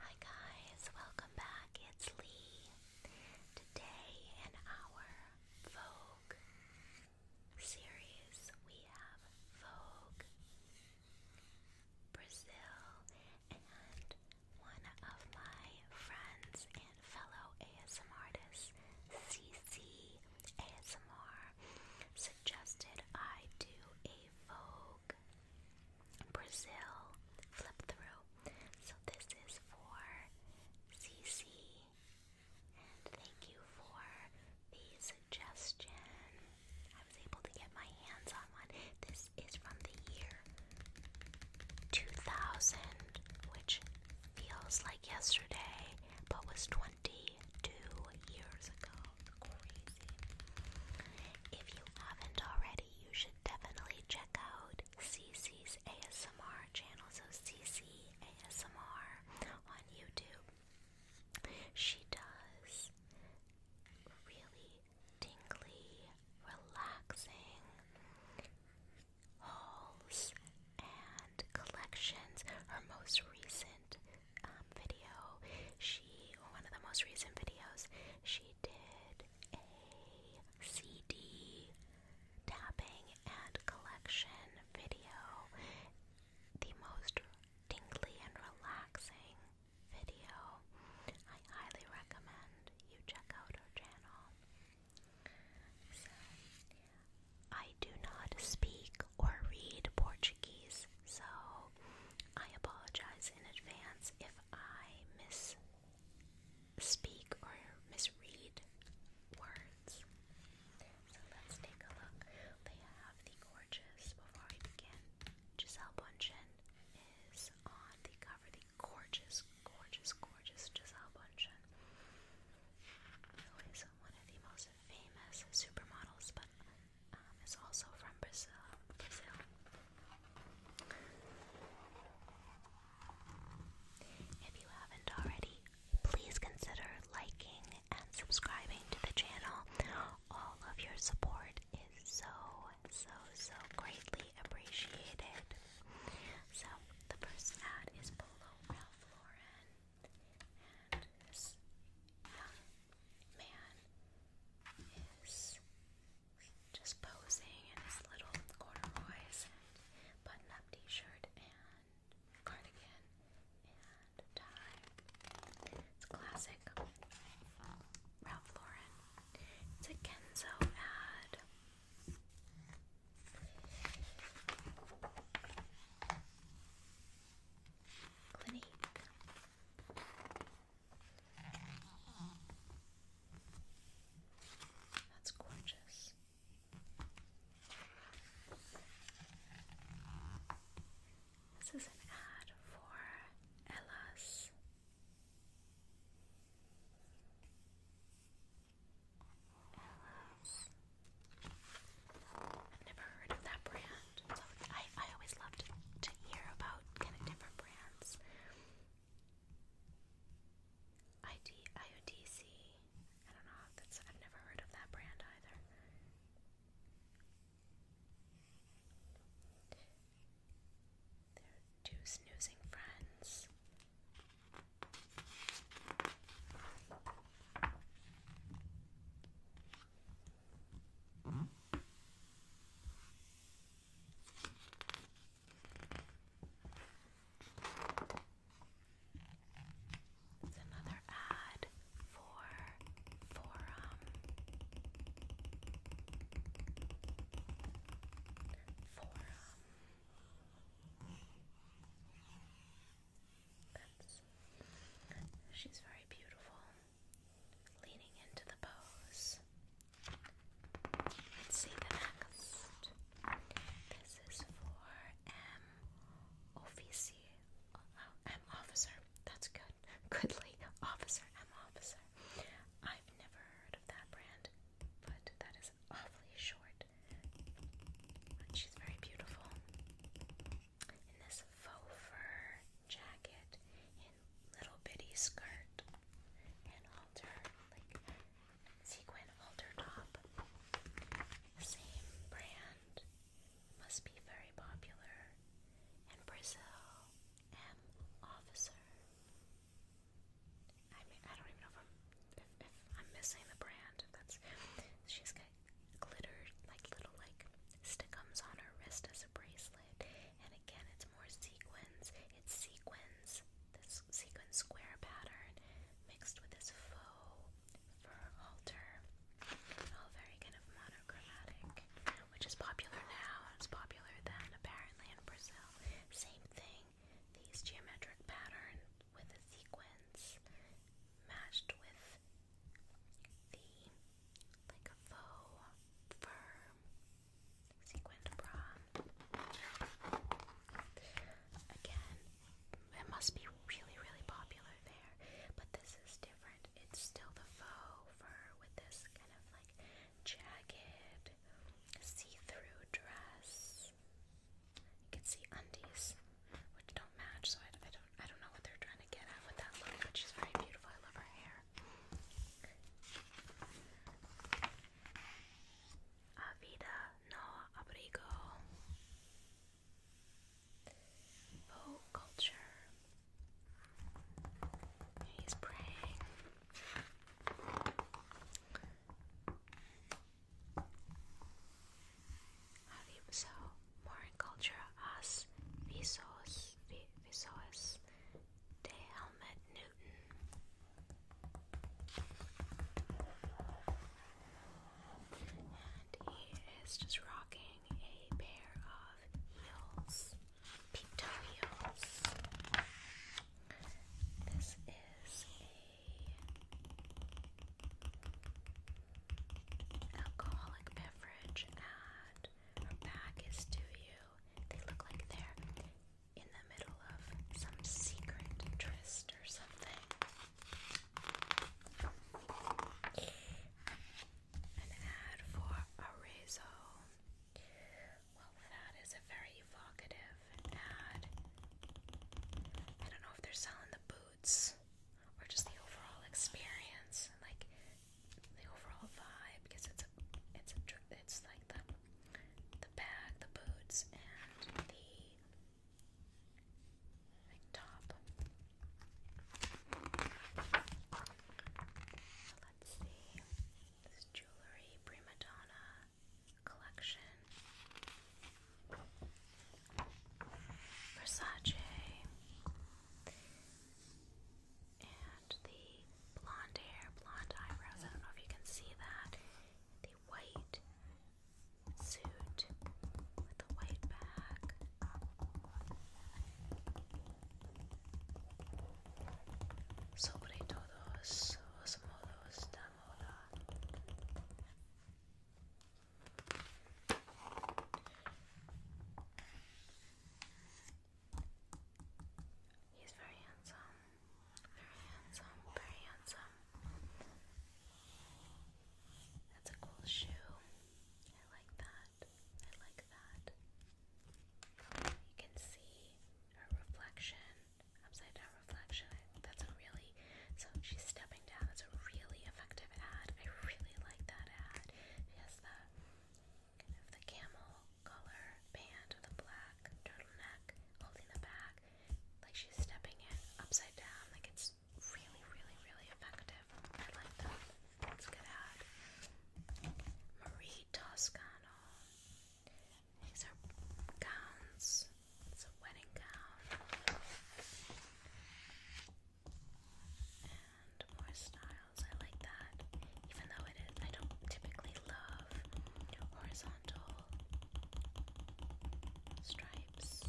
Hi guys, welcome back. It's Lee. Today in our Vogue series, we have Vogue Brazil and one of my friends and fellow ASM artists, CC ASMR, suggested I do a Vogue Brazil flip through. So this is for CC. thank you for the suggestion. I was able to get my hands on one. This is from the year 2000, which feels like yesterday, but was 22 years ago. If you haven't already, you should definitely check out CC's ASMR channel, so CC ASMR on YouTube. She does really tingly, relaxing hauls and collections. Her most recent um, video, one of the most recent videos, she did a CD tapping and collection video. The most tingly and relaxing video. I highly recommend you check out her channel. I do not speak or read Portuguese, so I apologize in advance if I misspeak or misread words. So let's take a look. They have the gorgeous, before we begin, Giselle Bundchen is on the cover. The gorgeous, gorgeous, gorgeous Giselle Bundchen, who is one of the most famous supermodels, but um, it's also from Brazil. If you haven't already, please consider liking and subscribing to the channel. All of your support is so, so, so greatly appreciated. So, the first ad is below Ralph Lauren, man is just posing in his little corduroys and button up t shirt and cardigan and tie. It's classic Ralph Lauren. It's a Kenzo ad. Clinique. That's gorgeous. This is an ad for Ella's. Ella's. I've never heard of that brand. So I, I always love to, to hear about kind of different brands. ID, don't know. That's I've never heard of that brand either. two snoozing friends. It's another ad for forum. Forum. That's, she's very beautiful leaning into the pose. Let's see the next. This is for M officer. Oh, uh, M officer. That's good. Goodly officer. M officer. I've never heard of that brand, but that is awfully short. But she's very beautiful. In this faux fur jacket little bitty skirt and halter, like sequin halter top. Same brand. Must be very popular in Brazil. M officer. I mean, I don't even know if I'm missing the brand. that's she's got glitter like little like stickums on her wrist as a bracelet. And again, it's more sequins. It's sequins, this sequin square pattern mixed with this faux fur halter. All very kind of monochromatic, which is popular now. It's popular then, apparently, in Brazil. Same thing, these geometric patterns with the sequins matched with the like a faux fur sequined bra. Again, it must be really, really popular there, but this is different. It's still the faux fur with this kind of like jagged, see-through dress. You can see undies, which don't match, so I, I I don't know what they're trying to get at with that look, but she's very beautiful. I love her hair. A vida no abrigo. Vogue culture. He's praying. So, more culture as visos, we saw is De Helmet Newton. And he is just rocking a pair of heels, peep-toe heels. This is a alcoholic beverage at her back is to you. They look like they're in the middle of some secret tryst or something. An ad for Arezzo. Well, that is a very evocative ad. I don't know if they're selling the boots or just the overall experience. Like the overall vibe because it's a, it's a, it's like the, the bag, the boots, and the top. Let's see this jewelry prima donna collection. Versace and the blonde hair, blonde eyebrows. I don't know if you can see that. The white suit with the white back. He's very handsome. Very handsome. Very handsome. That's a cool shoe. I like that. I like that. You can see her reflection, upside down reflection. That's a really, so she's stepping down. That's a really effective ad. I really like that ad. She the camel color band with black turtleneck holding the bag. Like she's stepping it upside down. Like it's really, really, really effective. I like that. It's good ad. Marie Toscano. These are gowns. It's a wedding gown. And more styles. I like that. Even though it is, I don't typically love horizontal stripes.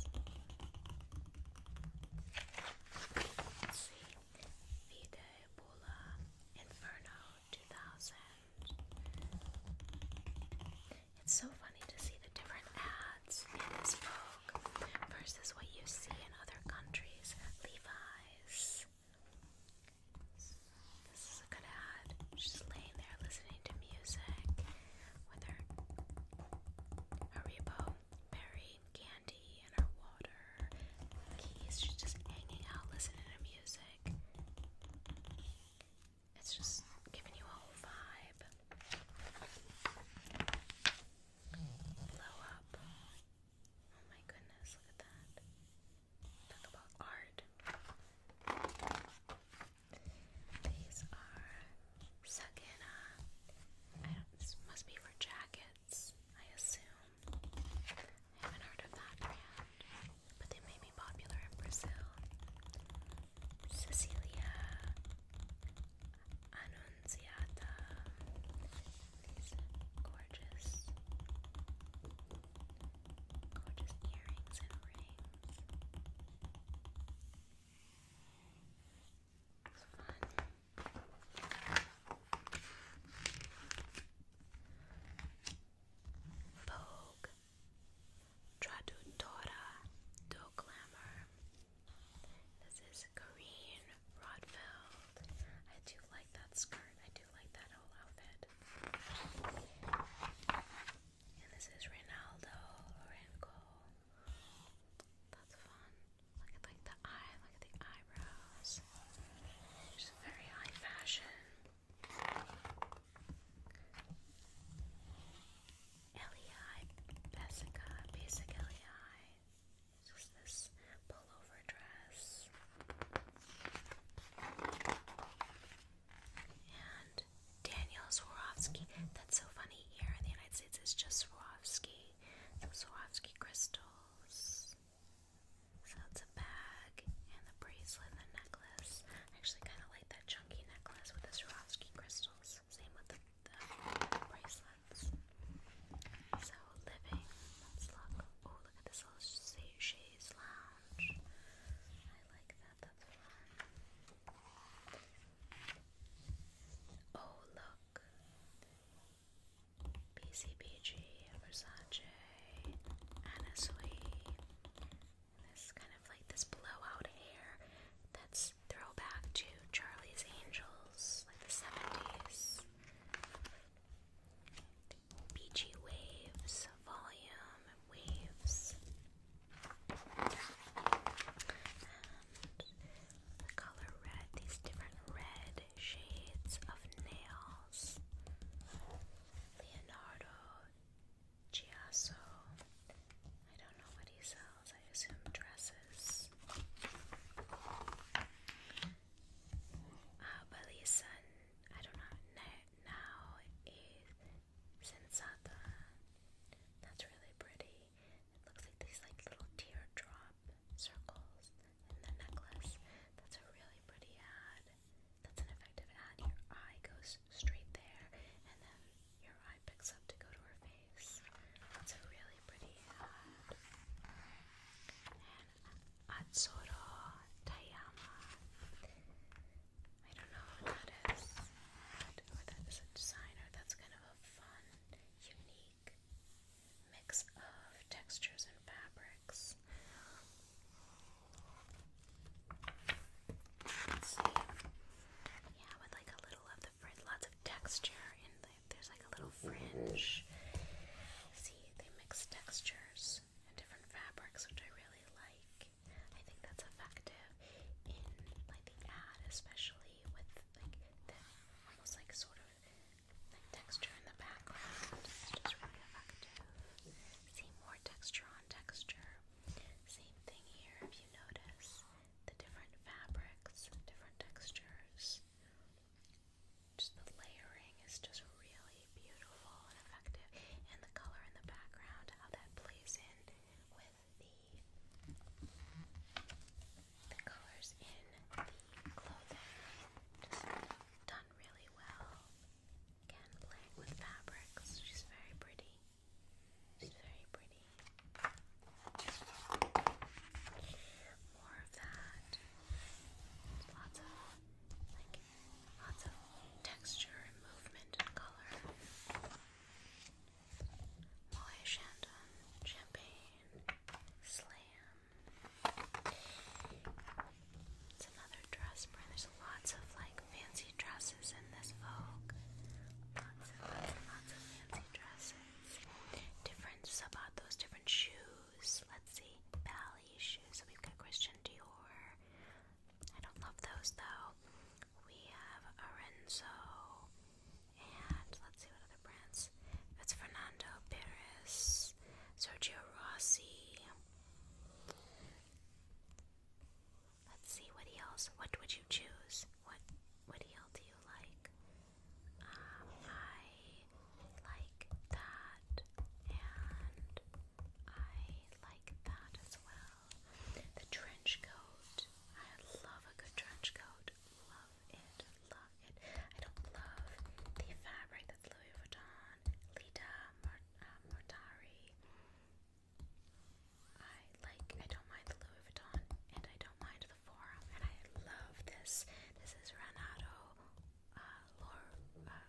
Let's see. Vita Inferno 2000. It's so funny to see the different ads in this book versus what you see in other countries. Levi's. This is a good ad. She's laying there listening to music with her Haribo berry candy and her water keys. She's just hanging out listening to music. It's just giving you a whole vibe. Blow up. Oh my goodness, look at that. Talk about art. These are Sagina. Uh, I this must be for jackets, I assume. haven't heard of that brand, but they may be popular in Brazil. Cecilia Annunziata. gorgeous, gorgeous earrings and rings. It's fun. Vogue, Traduttora do Glamour, this is Corinne Rodfeld. I do like that skirt. I do like that whole outfit. And this is Ronaldo Lorenco. That's fun. Look at like the eye, look at the eyebrows. Just very high fashion. Lei Basica, basic Lei. Just this pullover dress. And Daniel Swarovski. That's so funny. Here in the United States, it's just Swarovski. Some Swarovski crystals. So it's a bag and the bracelet the necklace. I actually kind of like that chunky necklace with the Swarovski crystals. Same with the the bracelets. So, living, let's look. Oh, look at this little chaise lounge. I like that, that's fun. Oh, look. BCBG, Versace, Anna Sui. This kind of like this blowout hair that's throwback to Charlie's Angels, like the 70s. Beachy Waves, Volume Waves. color red, these different red shades of nails. Leonardo Giasso. I don't know what he's I assume dresses. Uh, I don't know, now is sensata. That's really pretty. It looks like these like little teardrop circles in the necklace. That's a really pretty ad. That's an effective ad. Your eye goes straight there, and then your eye picks up to go to her face. It's a really pretty hat. And Atsuro Tayama. I don't know what that is, or that is a designer. That's kind of a fun, unique mix of textures and fabrics. Yeah, with like a little of the lots of texture, and the, there's like a little mm-hmm. fringe. See, they mix textures and different fabrics, which I really like. I think that's effective in like the ad, especially with like the almost like sort of like texture in the background. It's just really effective. See more texture on texture. Same thing here, if you notice the different fabrics, different textures. Just the layering is just really beautiful and effective, and the color in the background, how that plays in with the the colors in the clothing, just done really well. Again, playing with fabrics, she's very pretty. She's very pretty. More of that. Lots of like lots of texture and movement and color. Molly Shandon, champagne, slam. It's another dress brand. There's lots of like fancy dresses in this Vogue. Lots and lots of fancy dresses sizes, different zapatos, different shoes. Let's see, ballet shoes. So we've got Christian Dior. I don't love those though. We have Arenzo, and let's see what other brands. It's Fernando Perez, Sergio Rossi. Let's see what else. What would you choose? What what heel do you like? I like that, and I like that as well. The trench coat. I love a good trench coat. Love it. Love it. I don't love the fabric that's Louis Vuitton, Lita Mortari. Uh, I like, I don't mind the Louis Vuitton, and I don't mind the Forum, and I love this. This is Ranato, uh, Lor, uh, I don't know.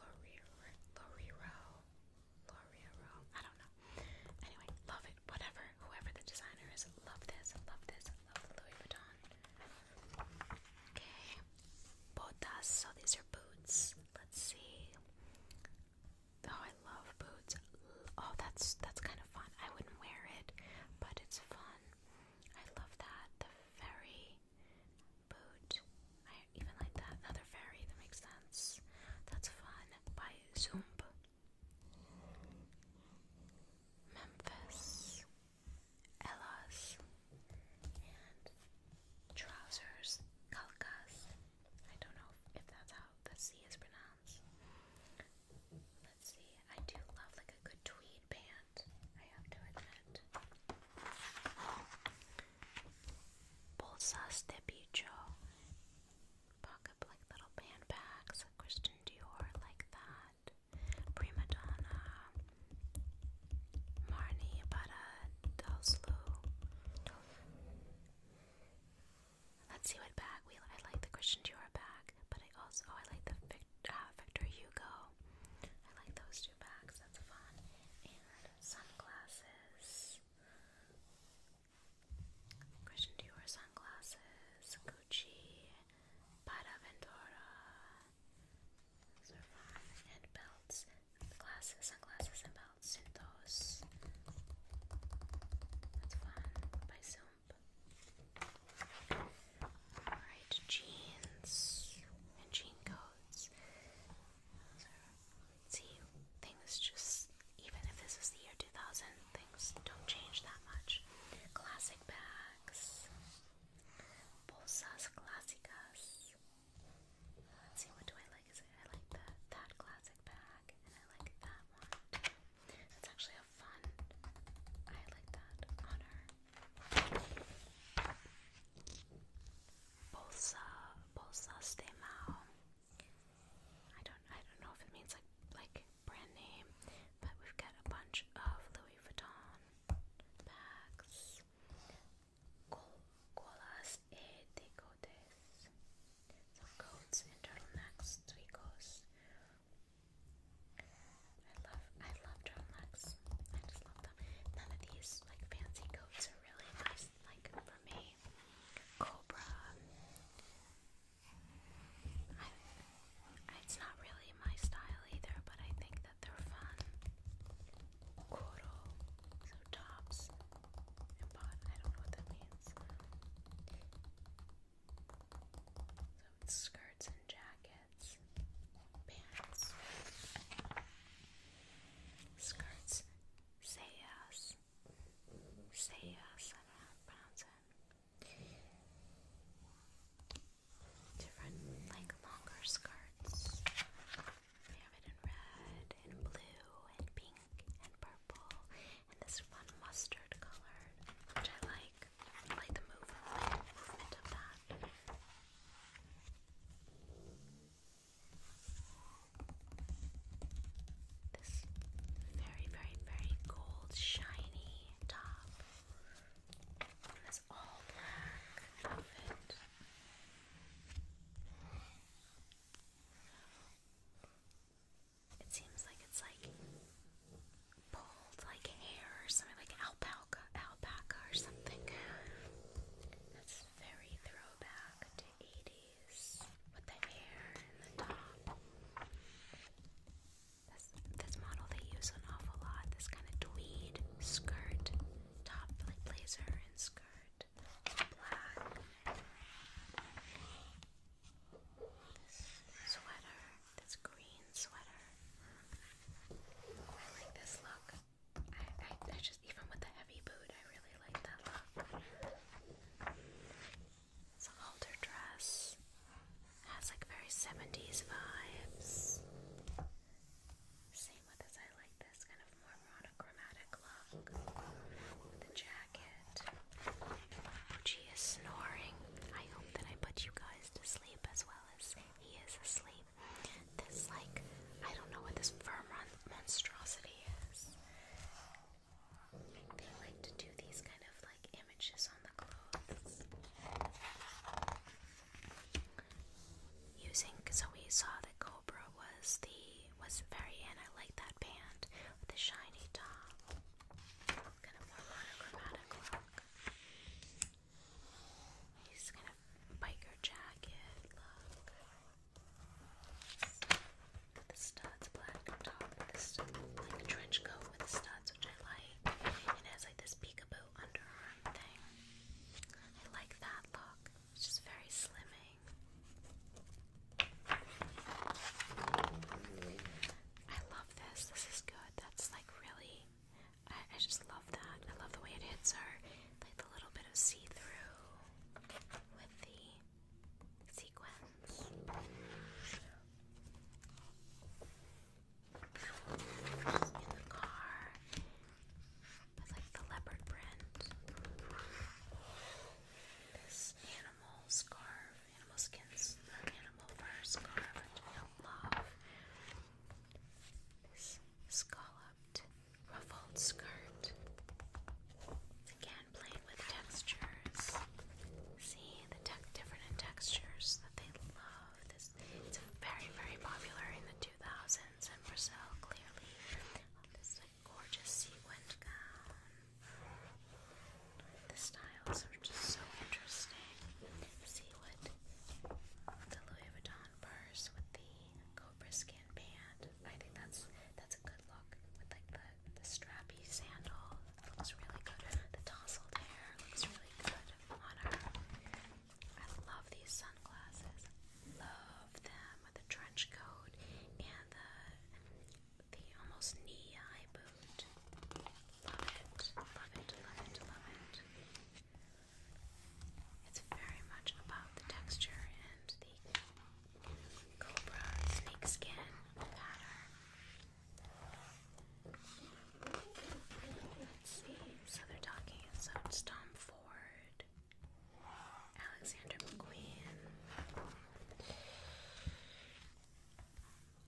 Anyway, love it, whatever, whoever the designer is, love this, love this, love the Louis Vuitton. Okay, botas, so these are boots. Let's see. Oh, I love boots oh that's that's kind of fun. I wouldn't wear it, but it's fun. I love that the fairy boot. I even like that another fairy that makes sense. That's fun by Zumb. Memphis, Ella's, and trousers, Calcas. I don't know if that's how the C is pronounced. Let's see, I do love like a good tweed band, I have to admit. Bolsas de bicho. Pocket like little handbags, Christian Dior like that. Prima Donna. Marnie Barra Doslu. Let's see what bag we. I like the Christian Dior bag, but I also oh, I like the Vic, uh, Victor Hugo. I like those two bags. That's fun. And sunglasses. Christian Dior sunglasses. Gucci. Paraventura. Those are fun. And belts. Glasses, sunglasses, and belts. Cintos. That's fun. By Zoom. Alright, jeans and jean coats. So, see, things just, even if this is the year 2000, things don't change that much. Classic bags, bolsas clasicas see, what do I like? I like the, that classic bag, and I like that one That's actually a fun. I like that on Bolsa, bolsa de mao. I don't, I don't know if it means like like brand name, but we've got a bunch of Louis Vuitton bags. Colas et decotes some coats and turtlenecks, tweakos. I love, I love turtlenecks. I just love them. None of these like fancy coats are really nice. Like for me, Cobra. it's not really my style either, but I think that they're fun. Koro, so tops and bot. I don't know what that means skirts and jackets, pants. Skirts, say yes. Say yes, Different, like longer skirts. They have it in red, and blue, and pink, and purple, and this one mustard colored, which I like. like the move, movement of that. This very, very, very gold, shiny top. And this all black outfit. It seems like it's like pulled like hair or something, like alpaca, alpaca or something. That's very throwback to 80s with the hair and the top. This, this model they use an awful lot. This kind of tweed skirt, top like blazer and skirt, black this sweater, this green sweater. I like this look. I, just, even with the heavy boot, I really like that look. It's a halter dress. has like very 70s vibes. Same with this, I like this kind of more monochromatic look. The jacket. Mochi is snoring. I hope that I put you guys to sleep as well as he is asleep. This, like, I don't know what this fur monstrosity is. They like to do these kind of like images on the clothes. Using, so we saw that Cobra was the was very and I like that band with the shiny top. Kind of more monochromatic look. He's kind of biker jacket look. The studs, black top like a trench coat with studs, which I like. it has like this peekaboo underarm thing. I like that look. It's just very slimming. I love this. This is good. That's like really. I, just love that. I love the way it hits her. Like the little bit of see through with the sequins. In the car. With like the leopard print. This animal animal scarf, animal skins, the animal fur scarf, which I love. This scalloped ruffled skirt. Again, playing with textures. See the different textures that they love. This it's very, very popular in the 2000s in Brazil, clearly. this gorgeous sequined gown. The styles are just so interesting. See what the Louis Vuitton purse with the cobra skin band. I think that's that's a good look with like the the strappy sandal. looks really good. The tousled hair looks really good on her. I love these sunglasses. Love them with the trench coat and the the almost knee high boot. Love it, love it, love it, love it. It's very much about the texture and the cobra snake pattern. Let's see. So they're talking. So Tom Ford. Alexander McQueen,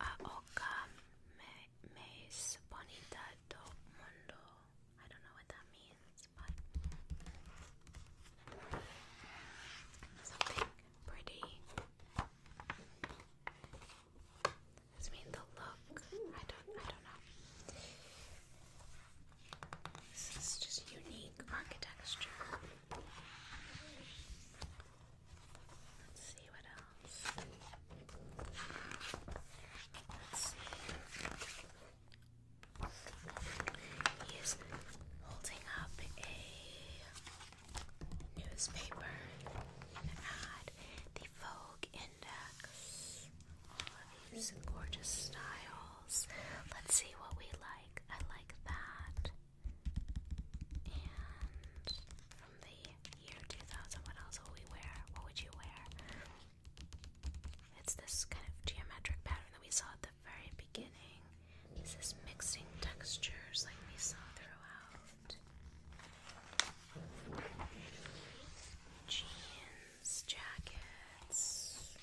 Aoka Mais Bonita do Mundo. I don't know what that means, but something pretty. Does mean the look? I don't. I don't know. This is just unique architecture. Let's see what else. He is holding up a newspaper ad, the Vogue Index. All these gorgeous styles. Let's see what we like. I like that. And from the year 2000, what else will we wear? What would you wear? It's this kind of geometric pattern that we saw at the very beginning. This is mixing textures like we saw throughout. Jeans, jackets,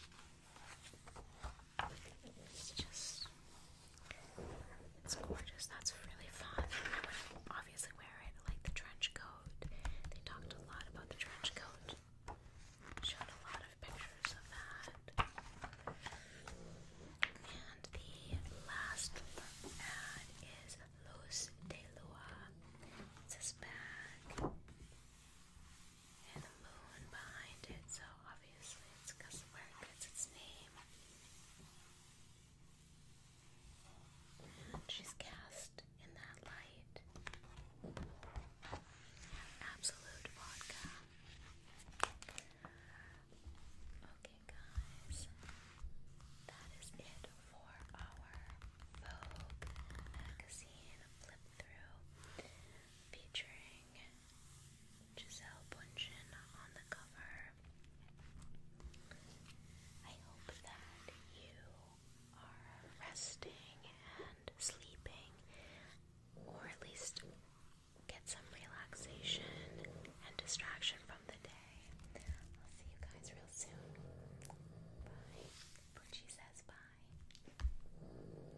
it's just, it's gorgeous. That's really fun. I would obviously wear it like the trench coat. They talked a lot about the trench coat. Showed a lot of pictures of that. And the last ad is Luz de this bag and the moon behind it, so obviously it's because where it gets its name. she's cast in that light. Absolute vodka. Okay, guys, that is it for our Vogue magazine flip through featuring Giselle Bundchen on the cover. I hope that you are resting and sleeping, or at least get some relaxation and distraction from the day. I'll see you guys real soon. Bye. Poochie says bye.